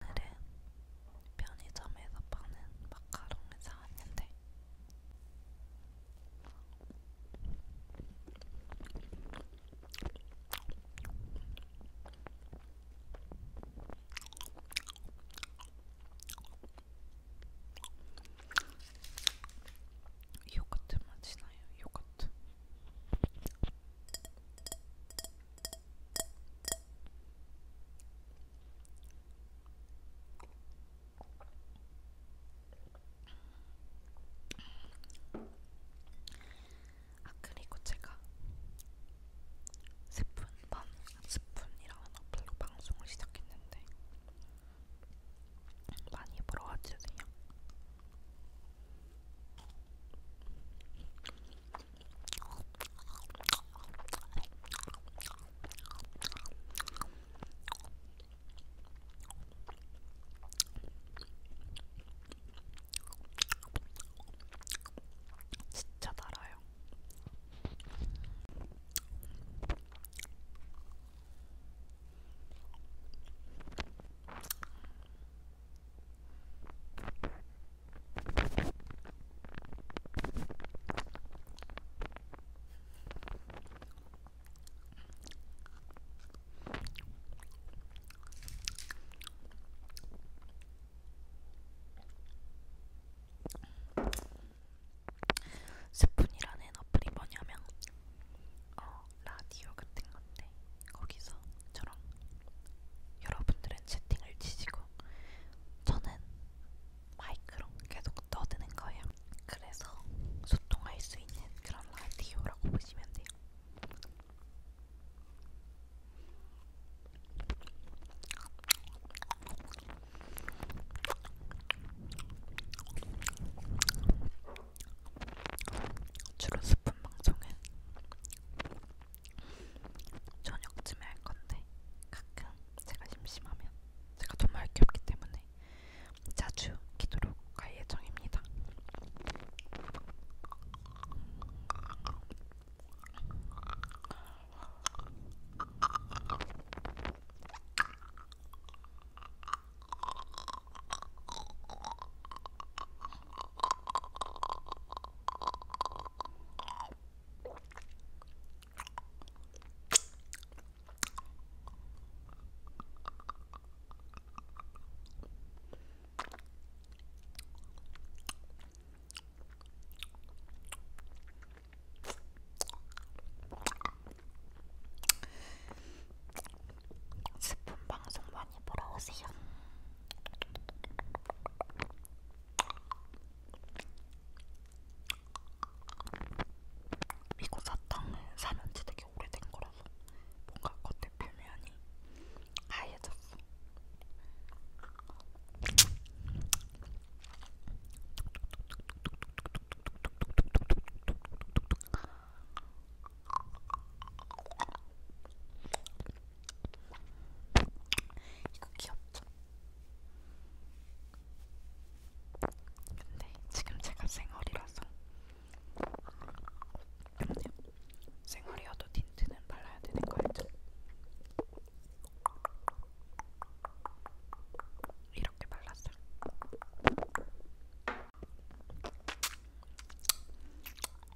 오늘은 편의점에서 파는 마카롱을 사왔는데 요거트 맛이 나요. 요거트. 아 그리고 제가 스푼밤 스푼이라는 어플로 방송을 시작했는데 많이 보러 와주세요. 진짜 달아요. 스푼이라는 어플이 뭐냐면 어, 라디오 같은 건데 거기서 저랑 여러분들은 채팅을 치시고 저는 마이크로 계속 떠드는 거예요. 그래서 소통할 수 있는 그런 라디오라고 보시면 돼요. 주로 스푼 방송은 저녁쯤에 할 건데 가끔 제가 심심하면 제가 정말 할게 없기 때문에 자주 기도로 갈 예정입니다. 스푼 방송 많이 보러 오세요. 미국 사탕을 사면지 되게 오래된 거라서 뭔가 겉에 표면이 하얘졌어. 이거 귀엽죠? 근데 지금 제가 생얼이라서 생얼이어도 틴트는 발라야 되는 거 알죠? 이렇게 발랐어.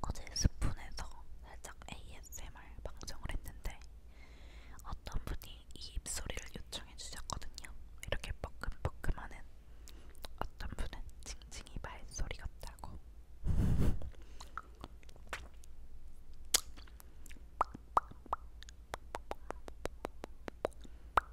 어제 스푼에서 살짝 ASMR 방송을 했는데 어떤 분이 이 입소리를 요청해 주셨거든요. 이렇게 뻐끔뻐끔하는 어떤 분은 징징이 말소리 같다고.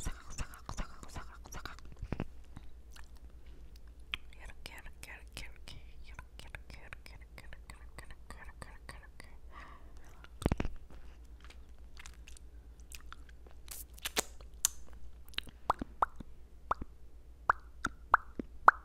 사각사각사각사각사각 이렇게 이렇게 이렇게 이렇게 이렇게 이렇게 이렇게 이렇게 이렇게 이렇게 이렇게 이렇게 이렇게 이렇게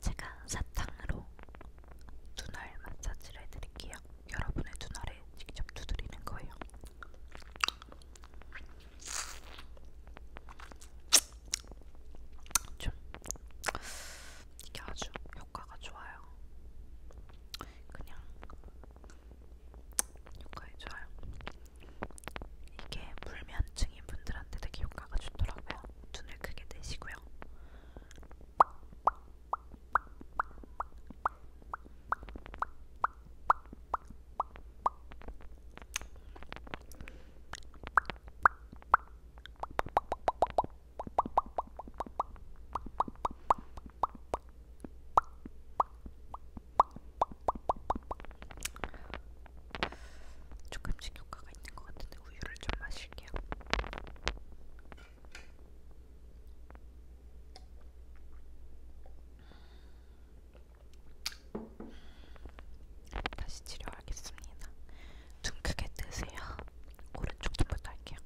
제가 사탕으로 눈알 마사지를 해드릴게요. 여러분의 눈알에 직접 두드리는 거예요. 좀 이게 아주 효과가 좋아요. 그냥 효과가 좋아요. 이게 불면증인 분들한테 되게 효과가 좋더라고요. 눈을 크게 뜨시고요. 조금씩 효과가 있는 것 같은데 우유를 좀 마실게요. 다시 치료하겠습니다. 눈 크게 뜨세요. 오른쪽 눈부터 할게요.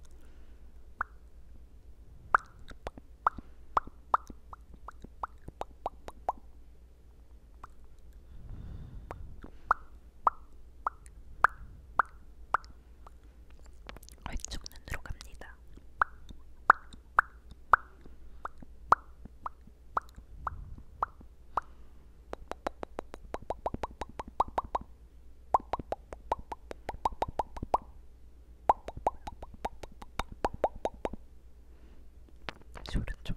왼쪽 눈으로 갑니다. 소른 좀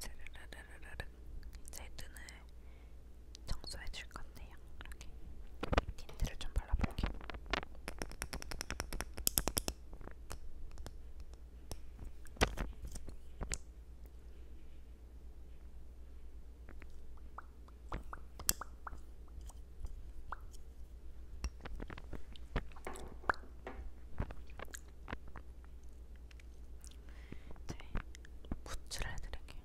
스르르르르르 이제 눈을 청소해 줄 건데요. 이렇게 틴트를 좀 발라볼게요. 이제 부츠를 해드릴게요.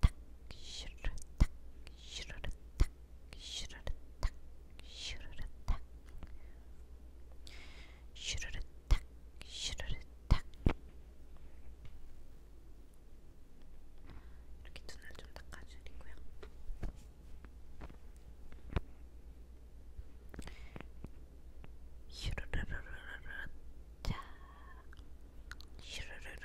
탁 슈르르 탁 슈르르 탁 슈르르 탁 슈르르 탁 슈르르 탁 슈르르 탁 이렇게 눈을 좀 닦아주리고요. 슈르르르르르 자 슈르르르르르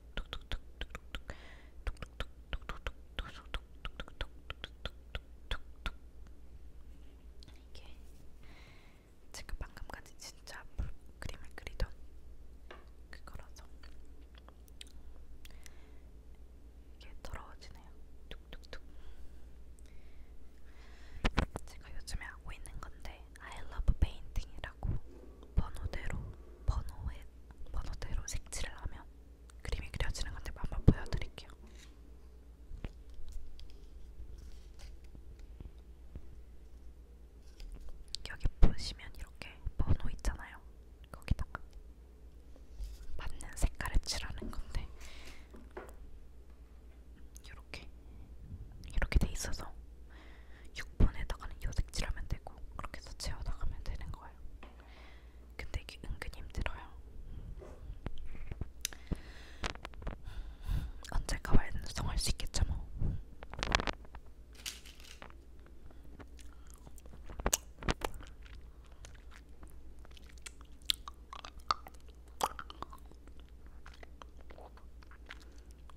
이게 제가 방금까지 진짜 그림을 그리던 그거라서 이게 더러워지네요. 툭툭툭. 제가 요즘에 하고 있는 건데 I love painting이라고 색칠하고 번호대로 번호에 번호대로 색칠을 하면 그림이 그려지는 건데 한번 보여드릴게요. 여기 보시면 이렇게 번호 있잖아요. 거기다가 맞는 색깔을 칠하는 건데 이렇게 이렇게 돼 있어서 6번에다가는 요색칠하면 되고 그렇게 해서 채워나가면 되는 거예요. 근데 이게 은근 힘들어요. 언젠가 완성할 수 있겠죠 뭐.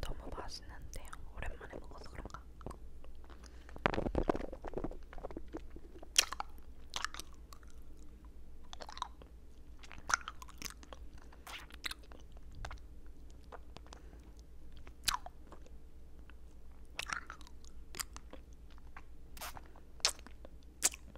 너무 맛있는데요. 오랜만에 먹어서 그런가.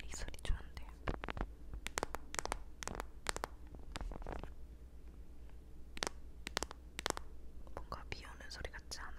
이 소리 좋은데요. 뭔가 비 오는 소리 같지 않아요?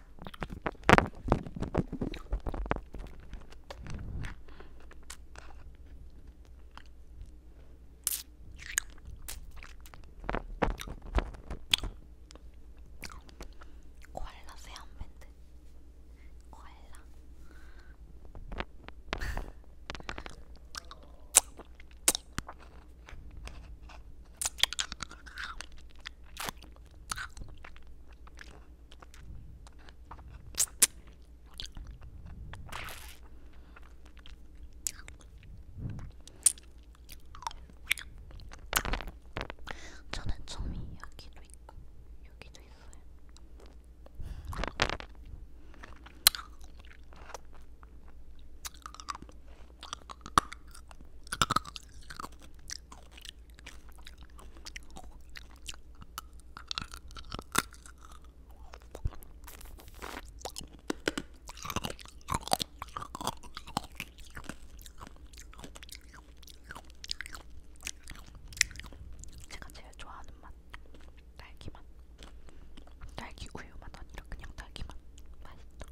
코알라 세안밴드 코알라 저는 점이 여기도 있고 여기도 있어요. 제가 제일 좋아하는 맛 딸기맛 딸기 우유맛 아니라 그냥 딸기맛 맛있어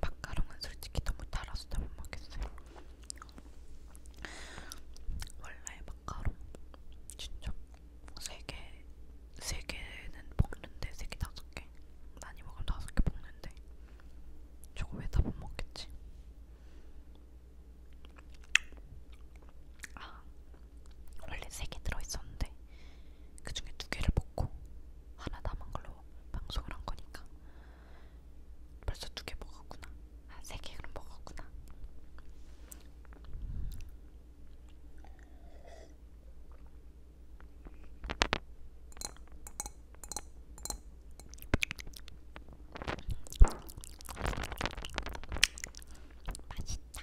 마카롱은 솔직히 너무 달아서 다못 먹겠어요. 원래 마카롱 진짜 세개세 개는 먹는데 세 개 다섯 개 많이 먹으면 다섯 개 먹는데 저거 왜다 못 먹겠지? 아 원래 세 개 들어 있었는데 그 중에 두 개를 먹고 하나 남은 걸로 방송을 한 거니까 벌써 두 개 먹었구나. 아, 세개 그럼 먹었구나. 맛있다.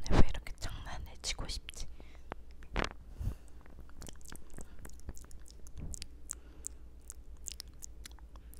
오늘 왜 이렇게 장난을 치고 싶지?